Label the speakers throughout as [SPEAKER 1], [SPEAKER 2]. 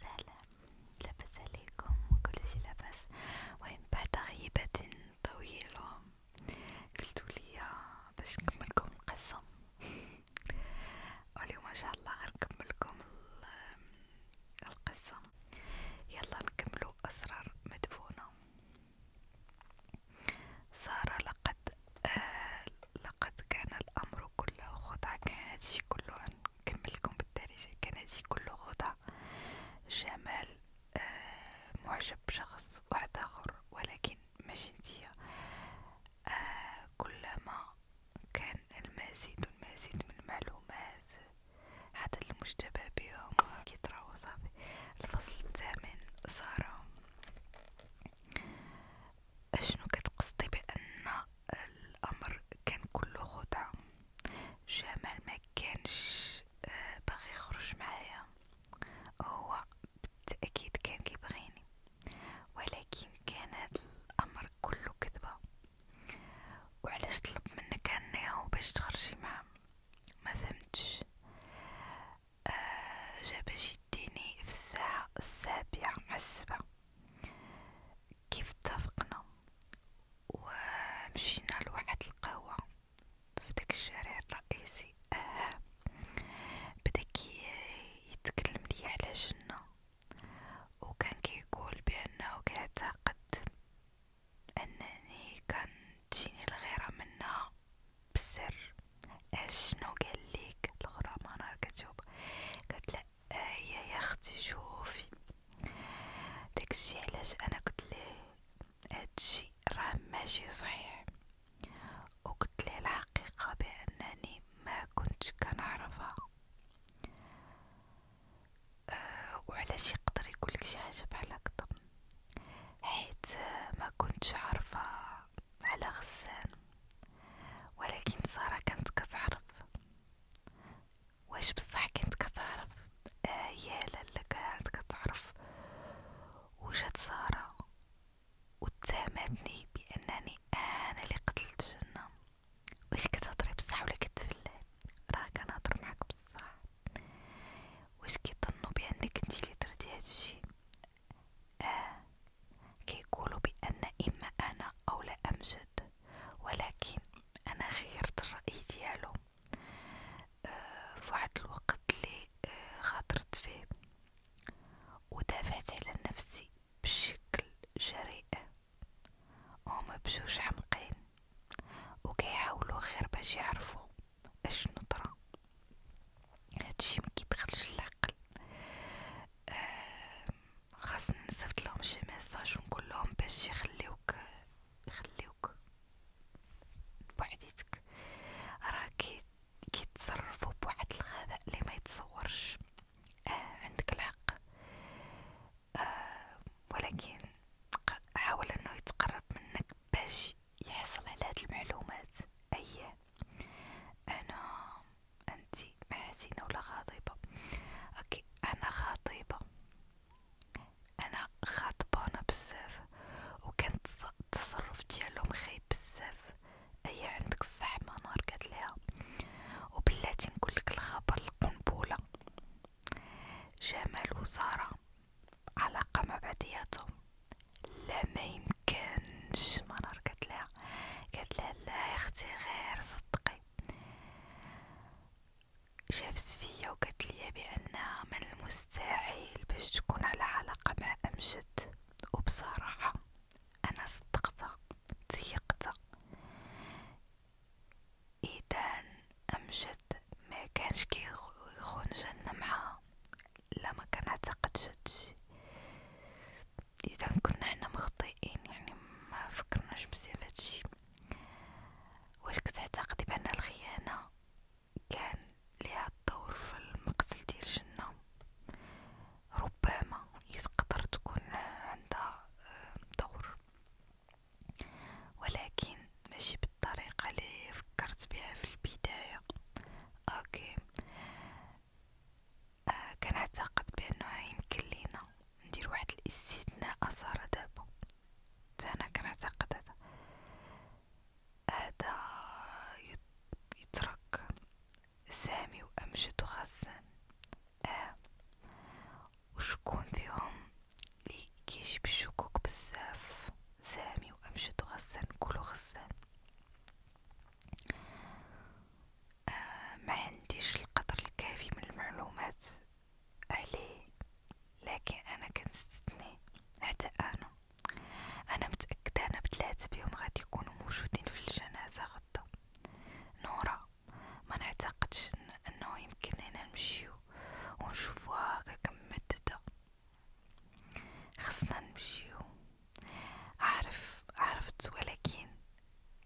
[SPEAKER 1] سلام لاباس عليكم كل شي لاباس المهم بعد غيبة طويلة قلتولي باش نكملكم القصة واليوم ان شاء الله غنكملكم القصة يلا نكملو اسرار مدفونة سارة لقد آه لقد كان الامر كله خدعة كان هادشي كله عن نكملكم بالتاريخ الكندي كل غدا جمال آه معجب بشخص واحد آخر ولكن ماشي نتيا آه كلما كان المزيد والمزيد من المعلومات حتى المشتبه بهم كيطراو صافي الفصل الثامن سارة اشنو كتقصدي بان الأمر كان كله خدعة جمال ما كانش آه، باغي يخرج معايا هو بالتأكيد كان كيبغيني ولكن كان هاد الأمر كله كذبة وعلاش طلب منك هنية باش تخرجي معاه ما فهمتش آه جا باش يديني في الساعة السابعة مع السبعة كيف اتفقنا ومشينا لواحد القهوة في داك الشارع الرئيسي اه بدا يتكلم لي على جنة وكان كيقول بانه كيعتقد انني كنتجيني الغيرة منها بالسر اش أه، شنو قال ليك الغرامة انا كتجاوب قالت لا هي يا اختي شوفي داكشي علاش انا قلت ليه هادشي راه ماشي صحيح وقلت ليه الحقيقه بانني ما كنتش كنعرفها أه وعلاش يقدر يقولك شي حاجه بحال هكذا حيت ما كنتش عارفه على غسان ولكن ساره كانت كتعرف واش بصح كنت كتعرف آه يا لالا كانت كتعرف وجات سارة واتهمتني بانني انا اللي قتلت جنة واش كتهضري بصح ولا كتفلي راه كنهضر معاك بصح واش كيظنوا بانك انت اللي درتي هادشي اه كيقولوا بان اما انا او لا امجد ولكن انا غيرت الراي ديالو أه فواحد الوقت لي أه خاطرت فيه ودافعت على نفسي بشكل جريء هما بجوج حمقين وكيحاولوا غير باش يعرفوا اش نطرا هادشي مكيدخلش العقل أه خاصني نصيفط لهم شي ميساج ونقول لهم باش يخليوك يخليوك بوحديتك راه كي كيتصرفوا بواحد الغباء اللي ما يتصورش آه عندك الحق آه ولكن حاول انه يتقرب منك باش يحصل على هاد المعلومات اي انا انت محزينه ولا غاضبه لك أنا خطيبة أنا خاطبانة بزاف وكان التصرف ديالهم خايب بزاف أيا عندك الصح ما نهار قالتليها وبلاتي نقولك الخبر القنبلة جمال وسارة علاقة مع بعضياتهم لا ما يمكنش ما نهار قالتليها قالتلها لا يا اختي غير صدقي شاف سفية وقتلي بأنها من المستحيل باش تكون على علاقة مع أمجد وبصراحة أنا صدقتها تيقتها إذا أمجد ما كيخون جن معها لا ما هادشي إذا كنا حنا مخطئين يعني ما بزاف هادشي واش كتعتقدي بان الخيانه كان ليها الدور في المقتل ديال الجنه ربما يقدر تكون عندها آه، دور ولكن ماشي بالطريقه اللي فكرت بها في البدايه اوكي آه كنعتقد بانه يمكن لينا ندير واحد الاستثناء صار دابا انا كنعتقد هذا هذا يترك سامي وامجد وغسان اه وشكون فيهم لي كيجيب الشكوك بزاف سامي وامجد وغسان كلو غسان آه ما عنديش القدر الكافي من المعلومات عليه لكن انا كنستثني حتى انا انا متاكده انا بثلاثه بيهم غادي يكونوا موجودين في الجنازه غدا نورا ما نعتقدش انه يمكن لنا نمشيو ونشوفوها هكا كم خصنا نمشيو عارف عرفت ولكن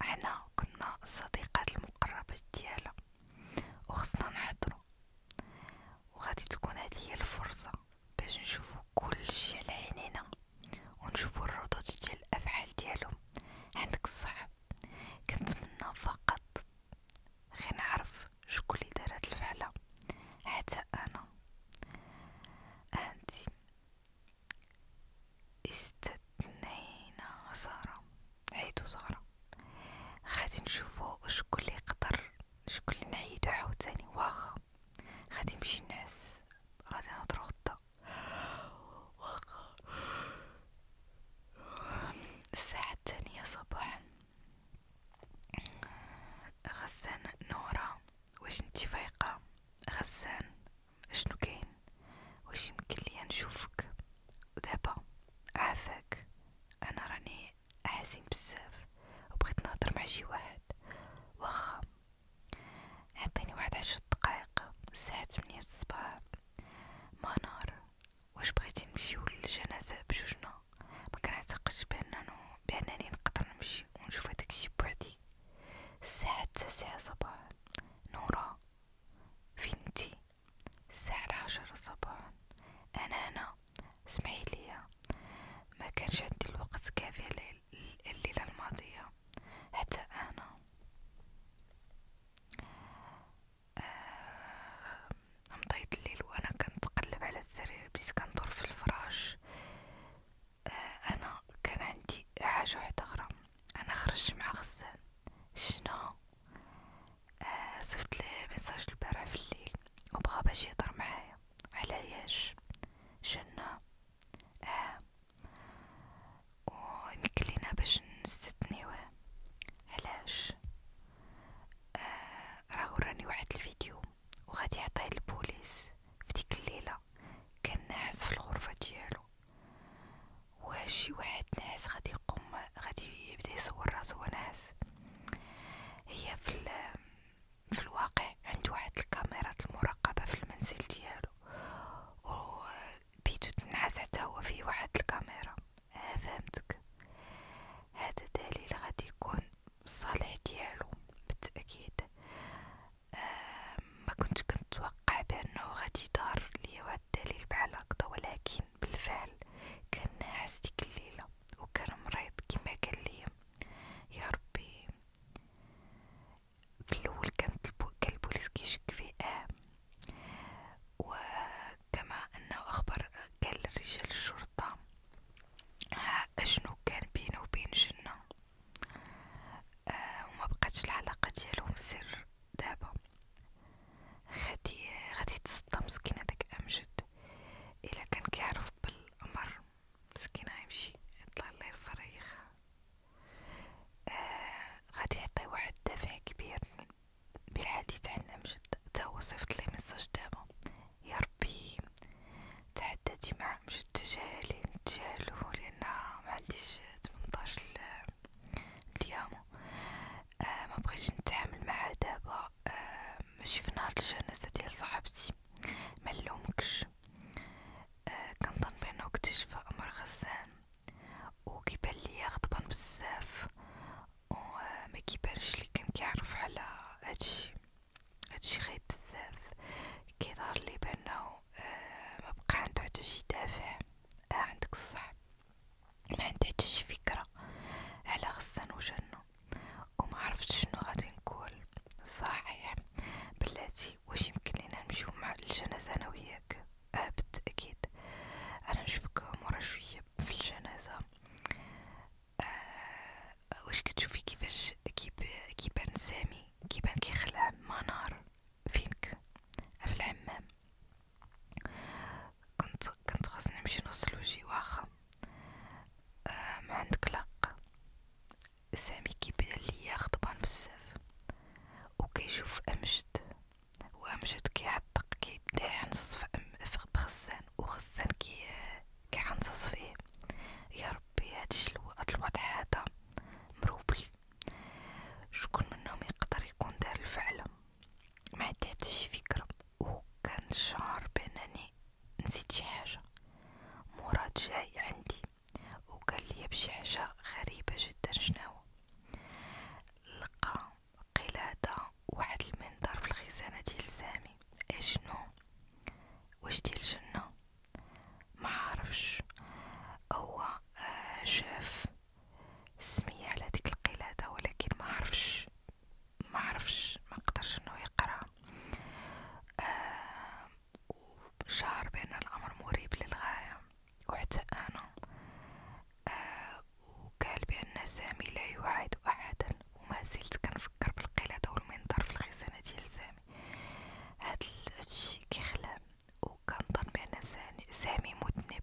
[SPEAKER 1] احنا كنا الصديقات المقربات ديالها وخصنا نحضرو وغادي تكون هذه هي الفرصه باش نشوفو كلشي على عينينا ونشوفو الردود ديال الافعال ديالهم عندك الصح كنتمنى فقط غير نعرف شكون اللي دار هاد الفعله حتى انا انتي استثنينا ساره نعيدو زهرة غادي نشوفو شكون لي يقدر شكون لي نعيدو عاوتاني واخا غادي نمشي نعس غادي نهضرو غدا واخا الساعة الثانية صباحا غسان نورا واش نتي فايقة غسان شنو كاين واش يمكن ليا نشوفك ودابا عافاك انا راني حزين بزاف وبغيت نهضر مع شي واحد واخا عطيني واحد عشر دقائق الساعه 8 الصباح منار واش بغيتي نمشيو للجنازه بجوجنا ما كنعتقدش باننا بانني نقدر نمشي ونشوف هداكشي بوحدي الساعه 9 صباح نورا فين نتي الساعة العاشرة صباحا أنا هنا اسمعي ليا ما كانش عندي الوقت كافي الليلة الماضية حتى أنا آه، مضيت الليل وأنا كنتقلب على السرير بديت كندور في الفراش آه، أنا كان عندي حاجة واحدة أخرى أنا خرجت مع غسان شنو آه صيفط ليه ميساج البارح في الليل وبغا باش يهضر معايا علاش جنة اه ونكلينا باش نستنيوه علاش آه راه وراني واحد الفيديو وغادي يعطيه البوليس في ديك الليله كان ناعس في الغرفه ديالو واش شي واحد ناس غادي يقوم غادي يبدا يصور راسو ناس هي في في الواقع عند واحد الكاميرات المراقبه في المنزل ديالو و بيتو تنعس حتى هو فيه واحد الكاميرا ها آه، فهمتك هذا دليل غادي يكون صالح ديالو بالتاكيد آه، ما كنت كنتوقع بانه غادي يدار ليا واحد الدليل بحال هكذا ولكن لكن بالفعل كان ناعس ديك الليلة وكان مريض كما قال لي يا ربي في الاول كان البوليس كيشك فيه اه وكما انه اخبر قال رجال الشرطة اشنو كان بينه وبين جنة آه وما بقاتش العلاقة ديالهم سر دابا غادي غادي تصدم مسكينة داك أمجد إلا كان كيعرف بالأمر مسكينة غيمشي يطلع الله يغفر يخا آه غادي يعطي واحد الدافع كبير بالحديث عن أمجد تا هو صيفط ليه ميساج دابا يا ربي تعداتي مع أمجد تجاهلي نتجاهلو لأن معنديش تمنطاش اليوم آه ما بغيتش نتعامل معها دابا آه ماشي في نهار الجنازه ديال صاحبتي ما نلومكش آه كنظن بانه اكتشف امر غسان وكيبان ليا غضبان بزاف وما آه، كيبانش لي كان كيعرف على هادشي هادشي غايب بزاف كيظهر لي بانه آه ما بقى عنده حتى شي دافع آه عندك الصح ما عنديش فكره على خصنا نوجدنا وما عرفت شنو غادي نقول صحيح بلاتي واش يمكن لينا نمشيو مع الجنازه انا وياك اه بالتاكيد انا نشوفك مورا شويه في الجنازه آه واش كتشوفي كيفاش كيبان سامي كيبان كيخلع منار فينك في الحمام كنت كنت خاصني نمشي نوصل وجهي واخا أه ما عندك لق سامي كيبان ليا غضبان بزاف وكيشوف امجد وامجد كيعتق كيبدا يعنصص في بخسان وخسان كي كيعنصص فيه يا ربي هادشي هاد الوضع هذا مروبل شكون منهم يقدر يكون دار الفعله ما عندهاتش فكرة وكان بانني نسيت شي حاجة مراد جاي عندي وقال بشي حاجة غريبة جدا شناهو لقى قلادة واحد المنظر في الخزانة ديال سامي اشنو واش ديال الجنة معرفش هو آه، شاف سمية على ديك القلادة ولكن ما عرفش ما عرفش ما قدرش انه يقرا آه وشعر بان الامر مريب للغاية وحتى انا آه وقال بان سامي لا يوعد احدا وما زلت كنفكر بالقلادة والمنظر في الخزانة ديال سامي هاد الشي كيخلع وكنظن بان سامي مذنب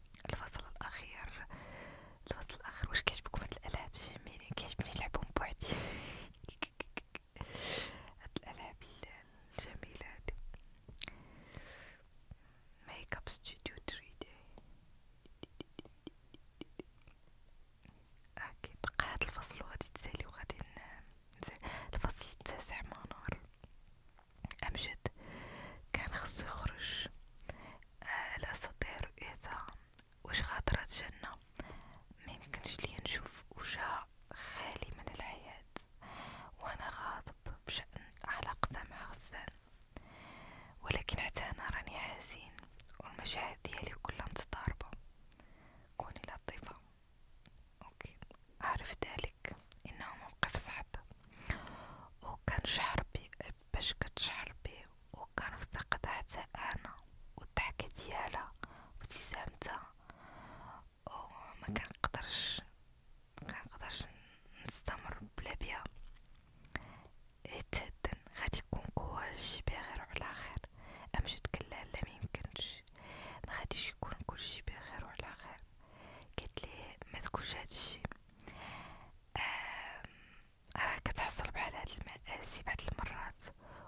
[SPEAKER 1] الفصل الأخير الفصل الأخير واش كيعجبكم هاد الألعاب جميلين كيعجبني نلعبهم بوحدي هاد الألعاب الجميلة هادي ميك اب ستوديو 3 دي اوكي بقى هاد الفصل وغادي تسالي وغادي الفصل التاسع منار أمجد كان خصو يخرج آه لأستطيع رؤيتها واش غادرة جنة ميمكنش ليا نشوف وجه خالي من الحياة وانا غاضب بشأن علاقتها مع غسان ولكن حتى انا راني حزين والمشاعر ديالي كلها متضاربة كوني لطيفة اوكي اعرف ذلك انه موقف صعب وكنشعر بي باش كتشعر بيه وكنفتقد حتى انا والضحكه ديالها وابتسامتها وما كنقدرش كنقدرش نستمر بلا بيها يتهدن إيه، غادي يكون كلشي بخير وعلى خير امجد قال لها لا ميمكنش ما غاديش يكون كلشي بخير وعلى خير قالت ليه ما تقولش هادشي راه كتحصل بحال هاد المآسي بعض المرات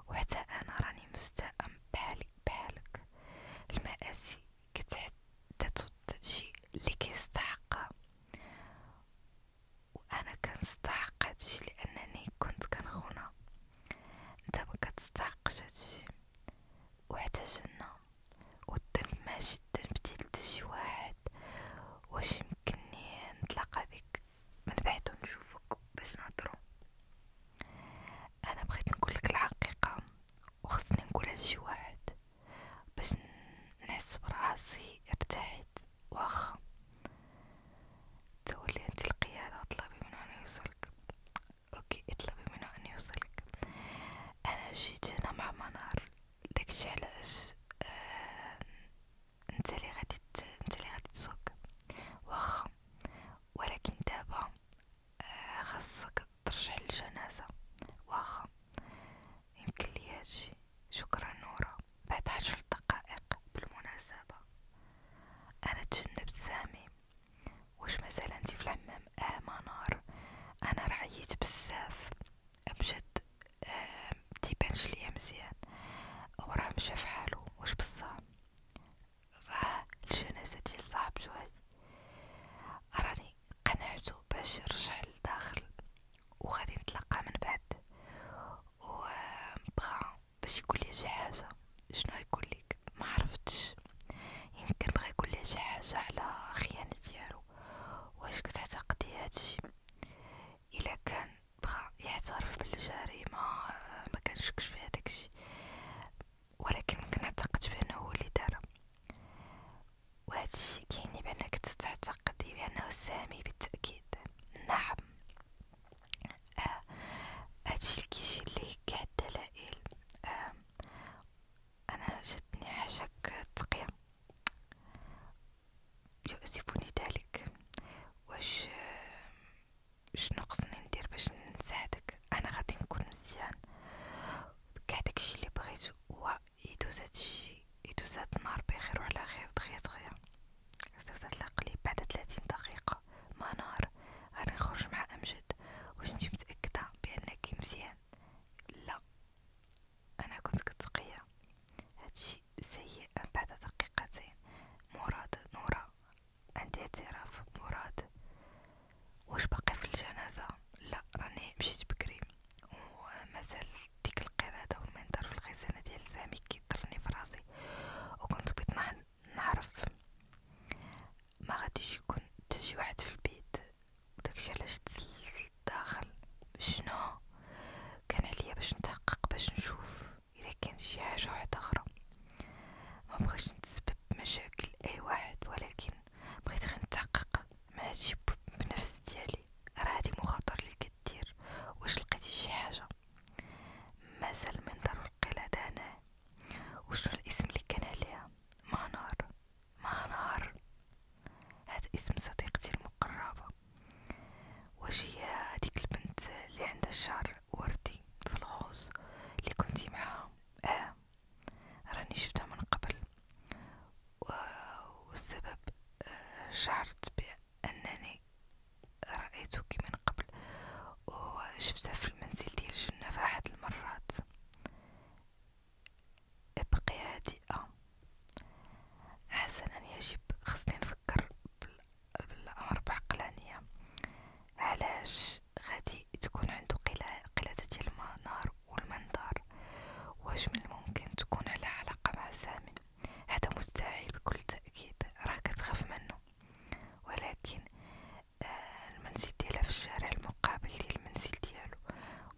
[SPEAKER 1] وحتى انا راني مستاءم بحالي بحالك المآسي كتحدث شيء اللي كيستحقها وانا كنستحق هادشي لانني كنت كنخونها انت مكتستحقش هادشي وحتى جنة والذنب ماشي الذنب ديال تشي واحد واش يمكنني نتلاقى بك من بعد ونشوفك باش نهضرو انا بغيت نقولك الحقيقه وخصني نقولها لشي واحد باش نحس براسي ارتحت واخا تولي انت القياده اطلبي منه ان يوصلك اوكي اطلبي منه ان يوصلك انا جيت هنا مع منار داكشي علاش آه انت اللي غادي انت اللي غادي تسوق واخا ولكن دابا آه خاصك ترجع للجنازه واخا يمكن لي هادشي شكرا نورا بعد عشر دقائق بالمناسبه انا تجنبت سامي واش مازال انت في الحمام اه منار انا رعيت بزاف مشد متيبانش آه، ليا مزيان وراه مشى فحالو واش بصح راه الجنازة ديال صاحبتو هادي راني قنعتو باش نرجع لداخل وغادي نتلاقى من بعد و بغا باش يقولي شي حاجه شنو يقولك ما عرفتش يمكن بغا يقولي شي حاجه على خيانه ديالو واش كتعتقدي هادشي الا كان بغا يعترف بالجريمه ما كنشكش في هذاكشي ولكن كنعتقد بانه هو اللي دارها وهادشي كيعني بانك تعتقدي بانه سامي بالتاكيد نعم آه هادشي الكيجي اللي كيعد دلائل آه أنا جتني حشك تقية يؤسفني ذلك واش شنو خصني ندير باش نساعدك انا غادي نكون مزيان كاع داكشي اللي بغيت هو يدوز هادشي يدوز هاد النهار بخير وعلى خير دغيا دغيا صيفط القليب بعد 30 دقيقه ما نهار غادي نخرج مع امجد واش نتي متاكده بانك مزيان لا انا كنت كتقيا هادشي سيء بعد دقيقتين مراد نورا عندي اعتراف مراد واش باقي في الجنازه لا راني مشيت بكري ومازال ديك القلاده والمنظر في الخزانه ديال سامي كيضرني في راسي وكنت بغيت نعرف ما غاديش يكون حتى شي واحد في البيت وداكشي علاش تسلسيت داخل شنو كان عليا باش نتحقق باش نشوف الا كان شي حاجه وحده اخرى ما بغيتش نتسبب بمشاكل اي واحد ولكن بغيت غير نتحقق من هادشي بنفس ديالي راه هادي مخاطر اللي كدير واش لقيتي شي حاجه مازال منظر القلادة هنا وشنو الاسم اللي كان عليها مانار مع نهر هذا اسم صديقتي المقربة واش هي هذيك البنت اللي عندها الشعر وردي في الغوص اللي كنتي معاها اه راني شفتها من قبل والسبب آه، شعرت بانني رايتك من قبل وشفتها في المنزل ديال الجنة في احد المرات ابقي هادئة حسنا يجب خصني نفكر بالأمر بعقلانية علاش غادي تكون عنده قلادة المنار والمنظار واش من الممكن تكون على علاقة مع سامي هذا مستحيل بكل تأكيد راه كتخاف منه ولكن آه المنزل ديالها في الشارع المقابل للمنزل ديالو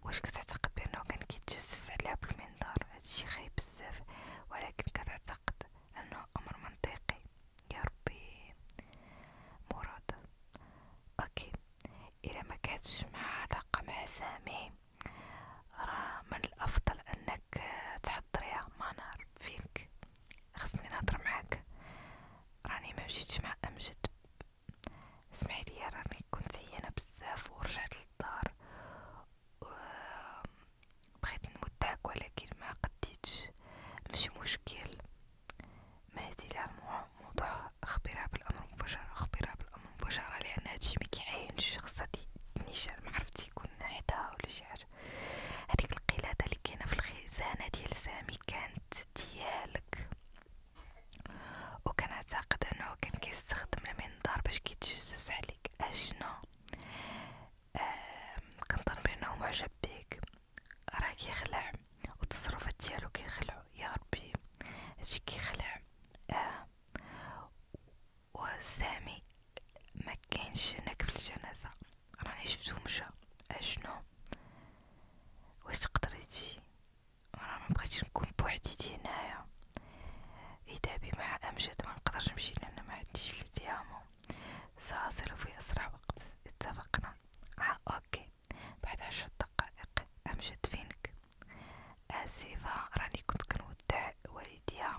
[SPEAKER 1] واش كتعتقد بانه كان كيتجسس عليها بالمنظار هادشي خايب بزاف ولكن كتعتقد انه امر منطقي يا ربي مراد اوكي الا ما كانتش مع علاقه مع سامي راه من الافضل انك تحضريها ما نعرف فيك خصني نهضر معاك راني ما مشيتش مع امجد اسمعي لي راني كنت عيانة بزاف ورجعت للدار بغيت نمدعك ولكن ما قديتش ماشي مشكل ما هادي على الموضوع خبيرها بالامر مباشرة خبيرها بالامر مباشرة لان هادشي مكيعينش خاصها تنيشان معرفتي يكون حداها ولا شي حاجة هاديك القلادة اللي كاينة في الخزانة ديال سامي كانت ديالك وكان اعتقد انه كان كيستخدم المنظار باش كيتجسس عليك اشنو كنظن بانه معجب بيك راه كيخلع والتصرفات ديالو كيخلعو يا ربي هادشي كيخلع آه. وسامي ما كاينش هناك في الجنازه راني شفتو مشى اشنو واش تقدري تجي راه مبقيتش نكون بوحديتي هنايا إدابي مع أمجد منقدرش نمشي لأن معنديش لي ديامو سأصل في أسرع وقت اتفقنا ها آه أوكي بعد عشر دقائق أمجد فينك آسفة راني كنت كنودع والديها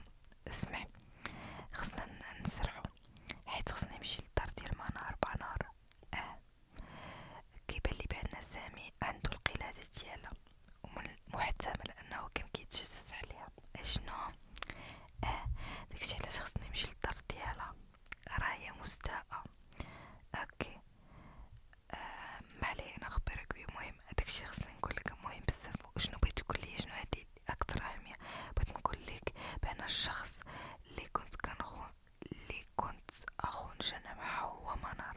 [SPEAKER 1] اسمع خصنا نسرعو حيت خصني نمشي للدار ديال منار بنار اه كيبان لي بان سامي عندو القلاده ديالها ومحتمل انه كان كيتجسس عليها اشنو اه داكشي علاش خصني نمشي للدار ديالها راه هي مستاءه اوكي آه معليه انا نخبرك بيه مهم داكشي خصني نقولك مهم بزاف شنو بغيت تقول لي شنو هادي اكثر اهميه بغيت نقول لك بان الشخص اللي كنت كنخون اللي كنت اخون جنى معه هو منار